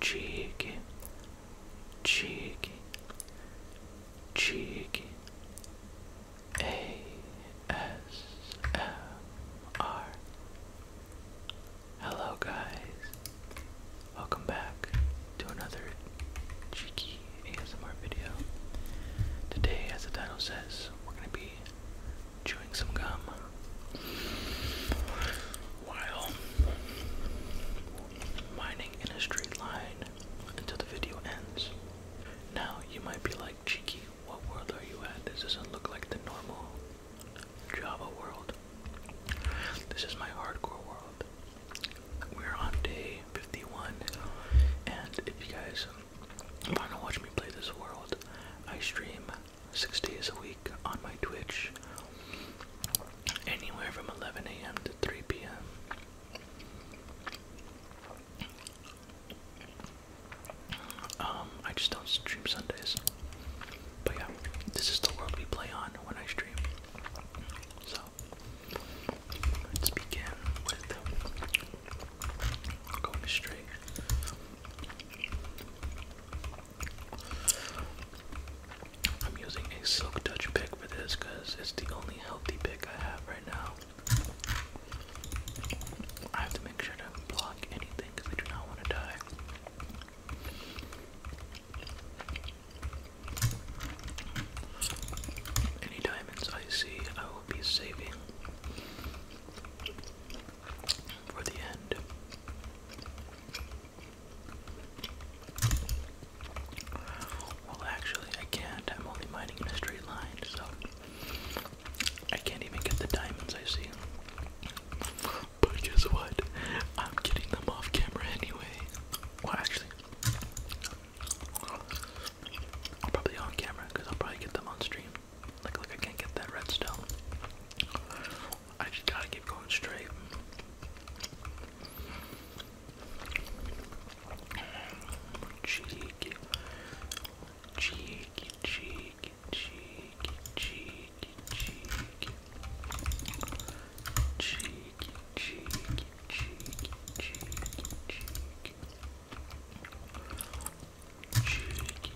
cheeky, cheeky, cheeky, ASMR. Hello, guys. Welcome back to another cheeky ASMR video. Today, as the title says, we're gonna be chewing some gum while mining in a straight line until the video ends. Now you might be like, Cheeky, what world are you at? This doesn't look like the normal Java world. This is my hardcore world. We're on day 51, and if you guys want to watch me play this world, I stream six days a week on my Twitch, anywhere from 11 a.m. to 3 p.m. Um, I just don't stream Sundays. But yeah, this is the world we play on when I stream. So, let's begin with going straight. I'm using a Silk Dutch pick for this because it's the only healthy pick I have right now. I have to make sure to block anything because I do not want to die. Any diamonds I see, I will be saving for the end. Well, actually, I can't. I'm only mining in a straight line, so I can't even get the diamonds I see. But guess what? I'm getting them off camera anyway. Well, actually, probably on camera I'll probably get them on stream. Like, look, I can't get that redstone. I just gotta keep going straight. Cheeky, cheeky, cheeky, cheeky, cheeky, cheeky, cheeky, cheeky, cheeky, cheeky, cheeky. Cheeky,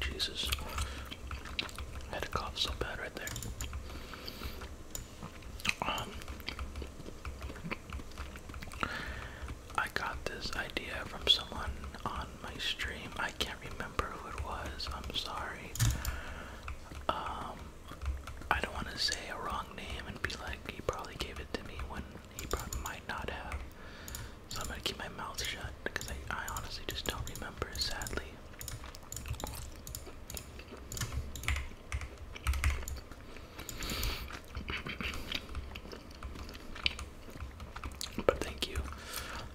Jesus. I had a cough so bad right there. Um I got this idea from someone on my stream. I can't remember who it was. I'm sorry. Um I don't want to say a wrong name and be like he probably gave it to me when he probably might not have. So I'm gonna keep my mouth shut because I, I honestly just don't remember sadly. But thank you.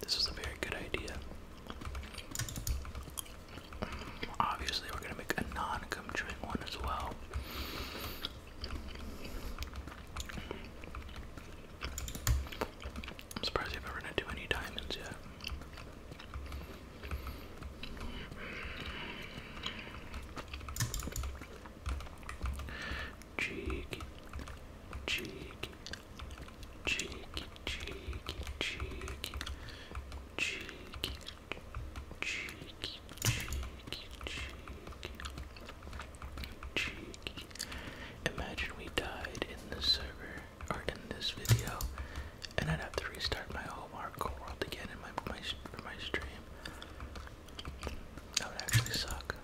This is a very good idea. Obviously, we're gonna make a non-cum one as well. I'm surprised you haven't run any diamonds yet. Cheeky, cheeky, cheeky, cheeky, cheeky, cheeky, cheeky, cheeky, cheeky, cheeky. Imagine we died in the server or in this video, and I'd have to restart my whole world again in my, my my stream. That would actually suck.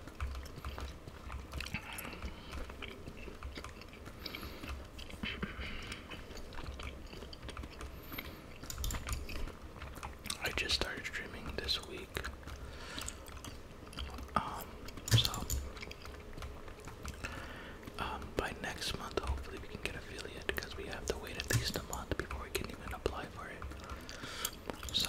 I just started streaming this week. Um, so um, by next month, hopefully, we can get affiliate because we have to wait at least a month before we can even apply for it. So,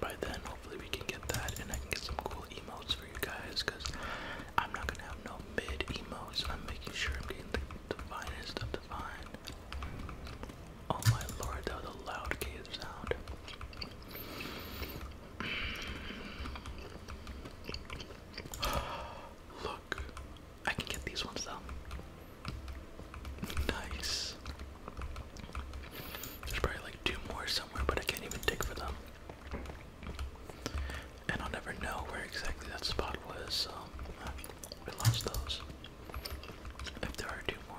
by then, hopefully, we can get that and I can get some cool emotes for you guys because I'm not gonna have no mid emotes. I'm making sure I'm getting the, the finest of the fine. Oh my lord, that was a loud cave sound. Look, I can get these ones though. Nice. There's probably like two more somewhere, but I can't even dig for them. And I'll never know where exactly that spot was, so uh, we lost those. If there are two more.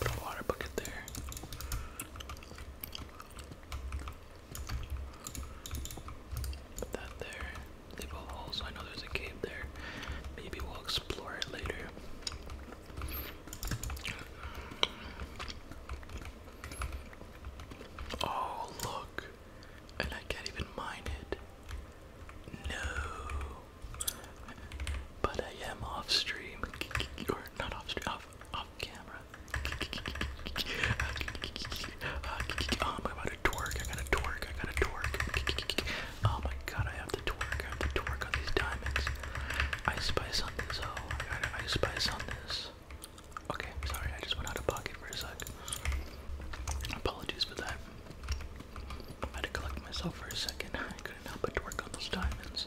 Put a water bucket there. Put that there. Leave a hole I know there's a cave there. Maybe we'll explore it later. Oh, look. And I can't even mine it. No. But I am off stream. Or not off stream, off, off camera. I'm about to twerk. I gotta twerk. I gotta twerk. Oh my god, I have to twerk, I have to twerk on these diamonds. I spice on this, oh my god, I spice on this. Okay, sorry, I just went out of pocket for a sec. Apologies for that. I had to collect myself for a second. I couldn't help but work on those diamonds.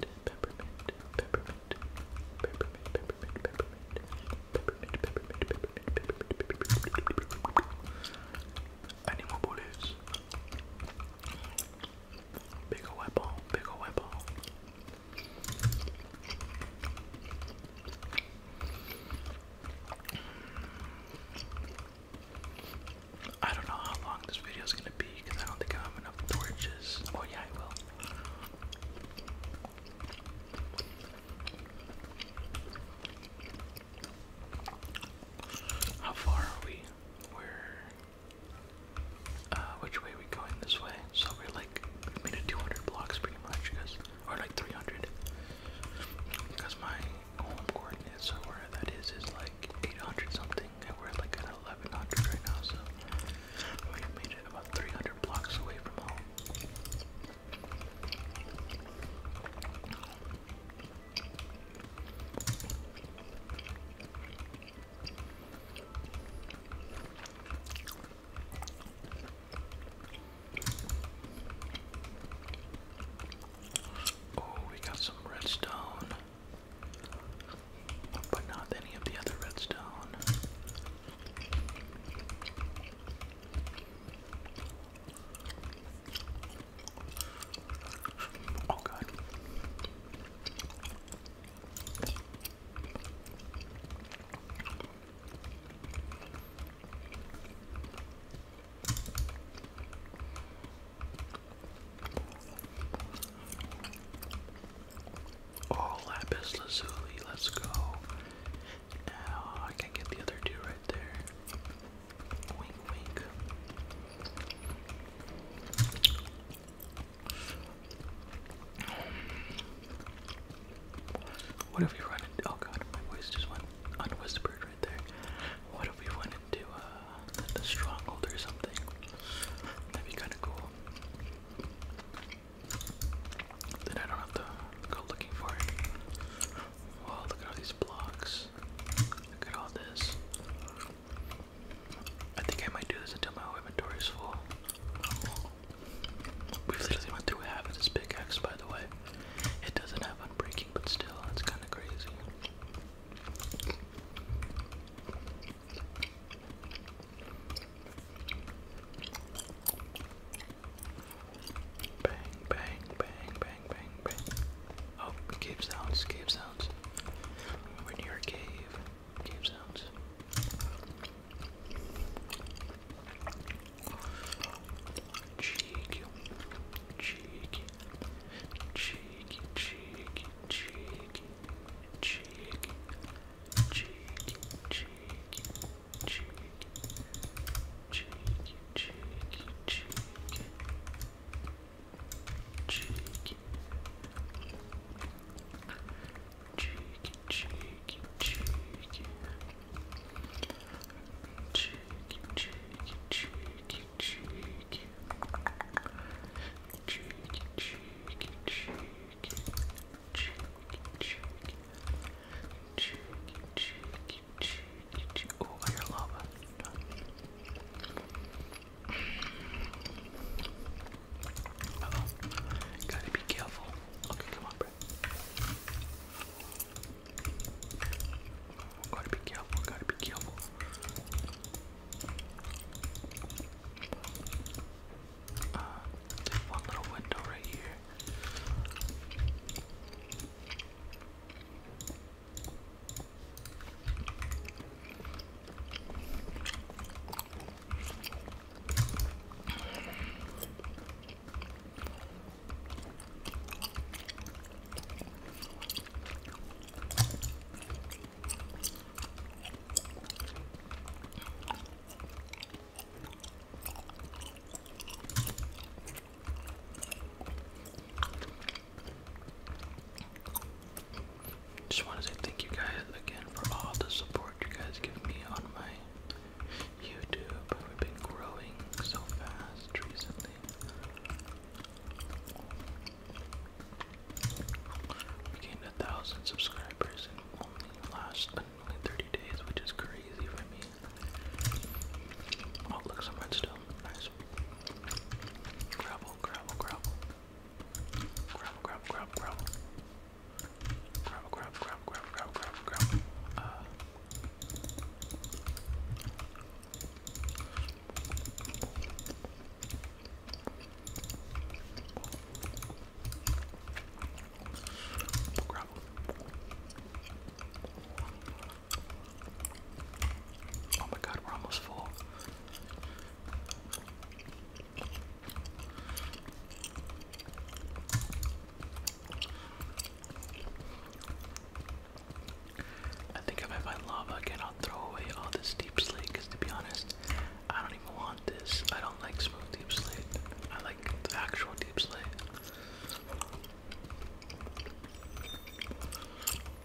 peppermint, peppermint, peppermint, peppermint, more bullets? Bigger weapon, bigger weapon. I don't know how long this video is gonna be because I don't think I have enough torches. Oh yeah, I will. How far are we? we uh, which way are we going? This way. So we're like we 200 blocks pretty much, because or like 300. Because my home coordinates or where that is is like 800 something we're like at 1100 right now, so we made it about 300 blocks away from home. Oh, we got some redstone but not any of the other redstone. Oh god. Oh, lapis lazuli, let's go. Now I can get the other two right there. Wink, wink. What if we run Oh god, my voice just went unwhispered right there. What if we run to uh, a stronghold or something. That'd be kind of cool. Then I don't have to go looking for it. Wow, look at all these blocks. Look at all this. I think I might do this until my inventory is full. We've literally went through half of this pickaxe, by the way. It doesn't have unbreaking, but still, it's kind of crazy. Bang, bang, bang, bang, bang, bang. Oh, cave sounds, cave sounds. We're near a cave. Cave sounds. Cheeky, cheeky, cheeky, cheeky, cheeky, cheeky, cheeky, cheeky, cheeky, cheeky, cheeky, cheeky, cheeky. Cheeky, cheeky, cheeky. Cheeky, cheeky, cheeky cheeky, cheeky, cheeky, cheeky, cheeky, cheeky, cheeky, cheeky, cheeky, cheeky. Oh, I hear lava. Oh, gotta be careful. Okay, come on, bro. Gotta be careful, gotta be careful. Uh, there's little window right here. Just want to thank you guys again for all the support you guys give me on my YouTube. We've been growing so fast recently. We gained a thousand subscribers in only last only 30 days, which is crazy for me. Oh, look, some redstone. Nice. Gravel, gravel, gravel. Gravel, gravel, gravel, gravel. Gravel, gravel, gravel, gravel, gravel, gravel, uh, Grab. Oh my god, we're almost full. I think if I find lava again, I'll throw away all this deep slate, because to be honest, I don't even want this. I don't like smooth deep slate. I like the actual deep slate.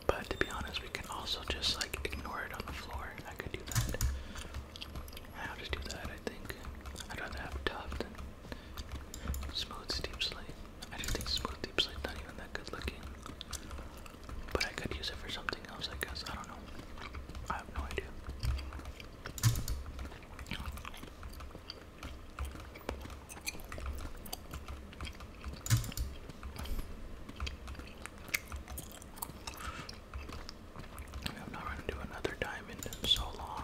But to be honest, we can also just like ignore it on the floor. I could do that. I'll just do that, I think. I'd rather have tough than smooth deep slate. I just think smooth deep sleep not even that good looking. But I could use it for something else, I guess. I don't know. I have no idea. I'm not running to another diamond in so long.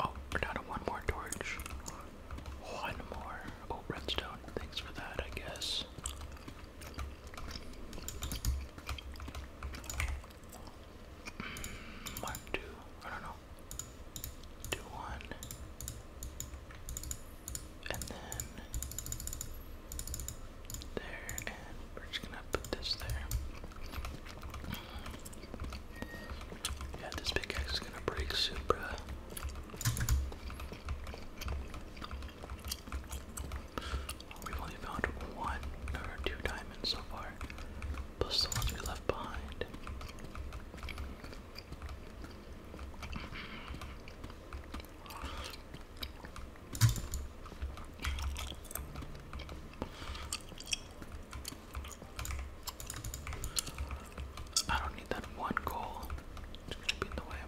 Oh, we're down to one more torch. One more. Oh, redstone. Thanks for that, I guess. one, mm, two. I don't know. Do one. And then. There, and we're just gonna put this there. Yeah, this pickaxe is gonna break soon, We've only found one or two diamonds so far, plus the ones we left behind. I don't need that one goal. It's gonna be in the way.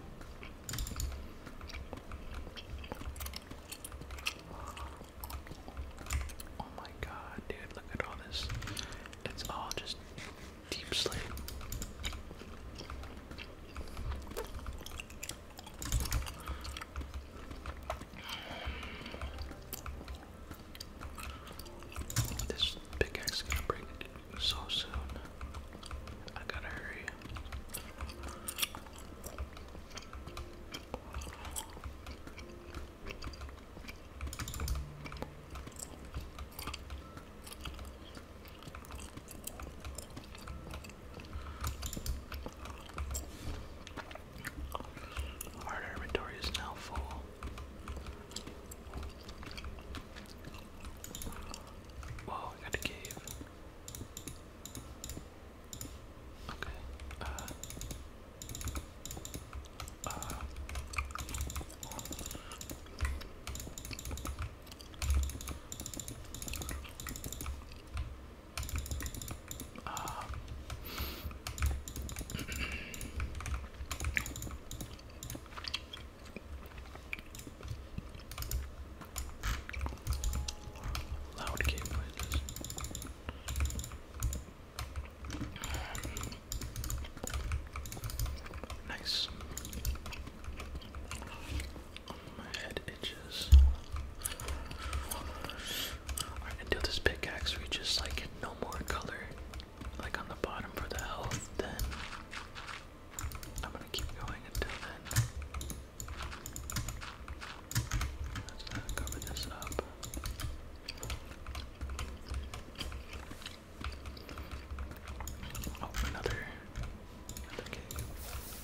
Oh my god, dude, look at all this. It's all just deep sleep. This pickaxe is gonna break so soon. I gotta hurry. Our inventory is now full. Whoa, I got a cave. Okay. Uh, uh, um, loud game noises. Nice. My head inches. Alright, until this pickaxe reaches like no more color, like on the bottom for the health, then I'm gonna keep going until then. Let's uh, cover this up. Oh, another.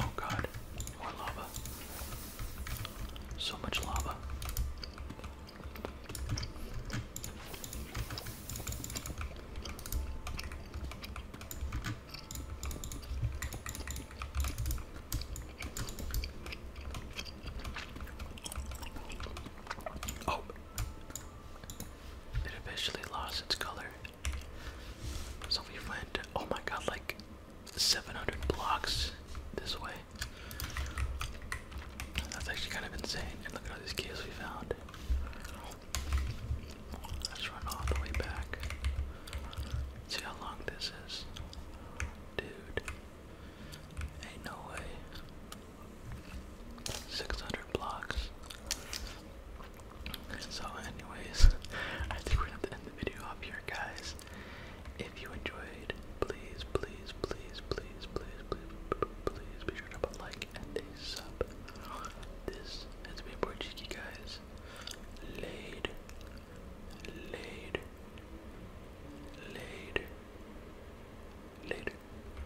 Oh god, more lava. So much lava. Oh, it eventually lost its color. So we went, oh my god, like 700 blocks this way. That's actually kind of insane. And look at all these caves we found. Let's run all the way back. See how long this is. Dude. Ain't no way. 600 blocks. So, anyways, I think we have to end the video off here, guys. If you enjoyed, please, please, please, please, please, please, please be sure to put a like and a sub. This has been Portuguese, guys. Laid, laid, laid, later.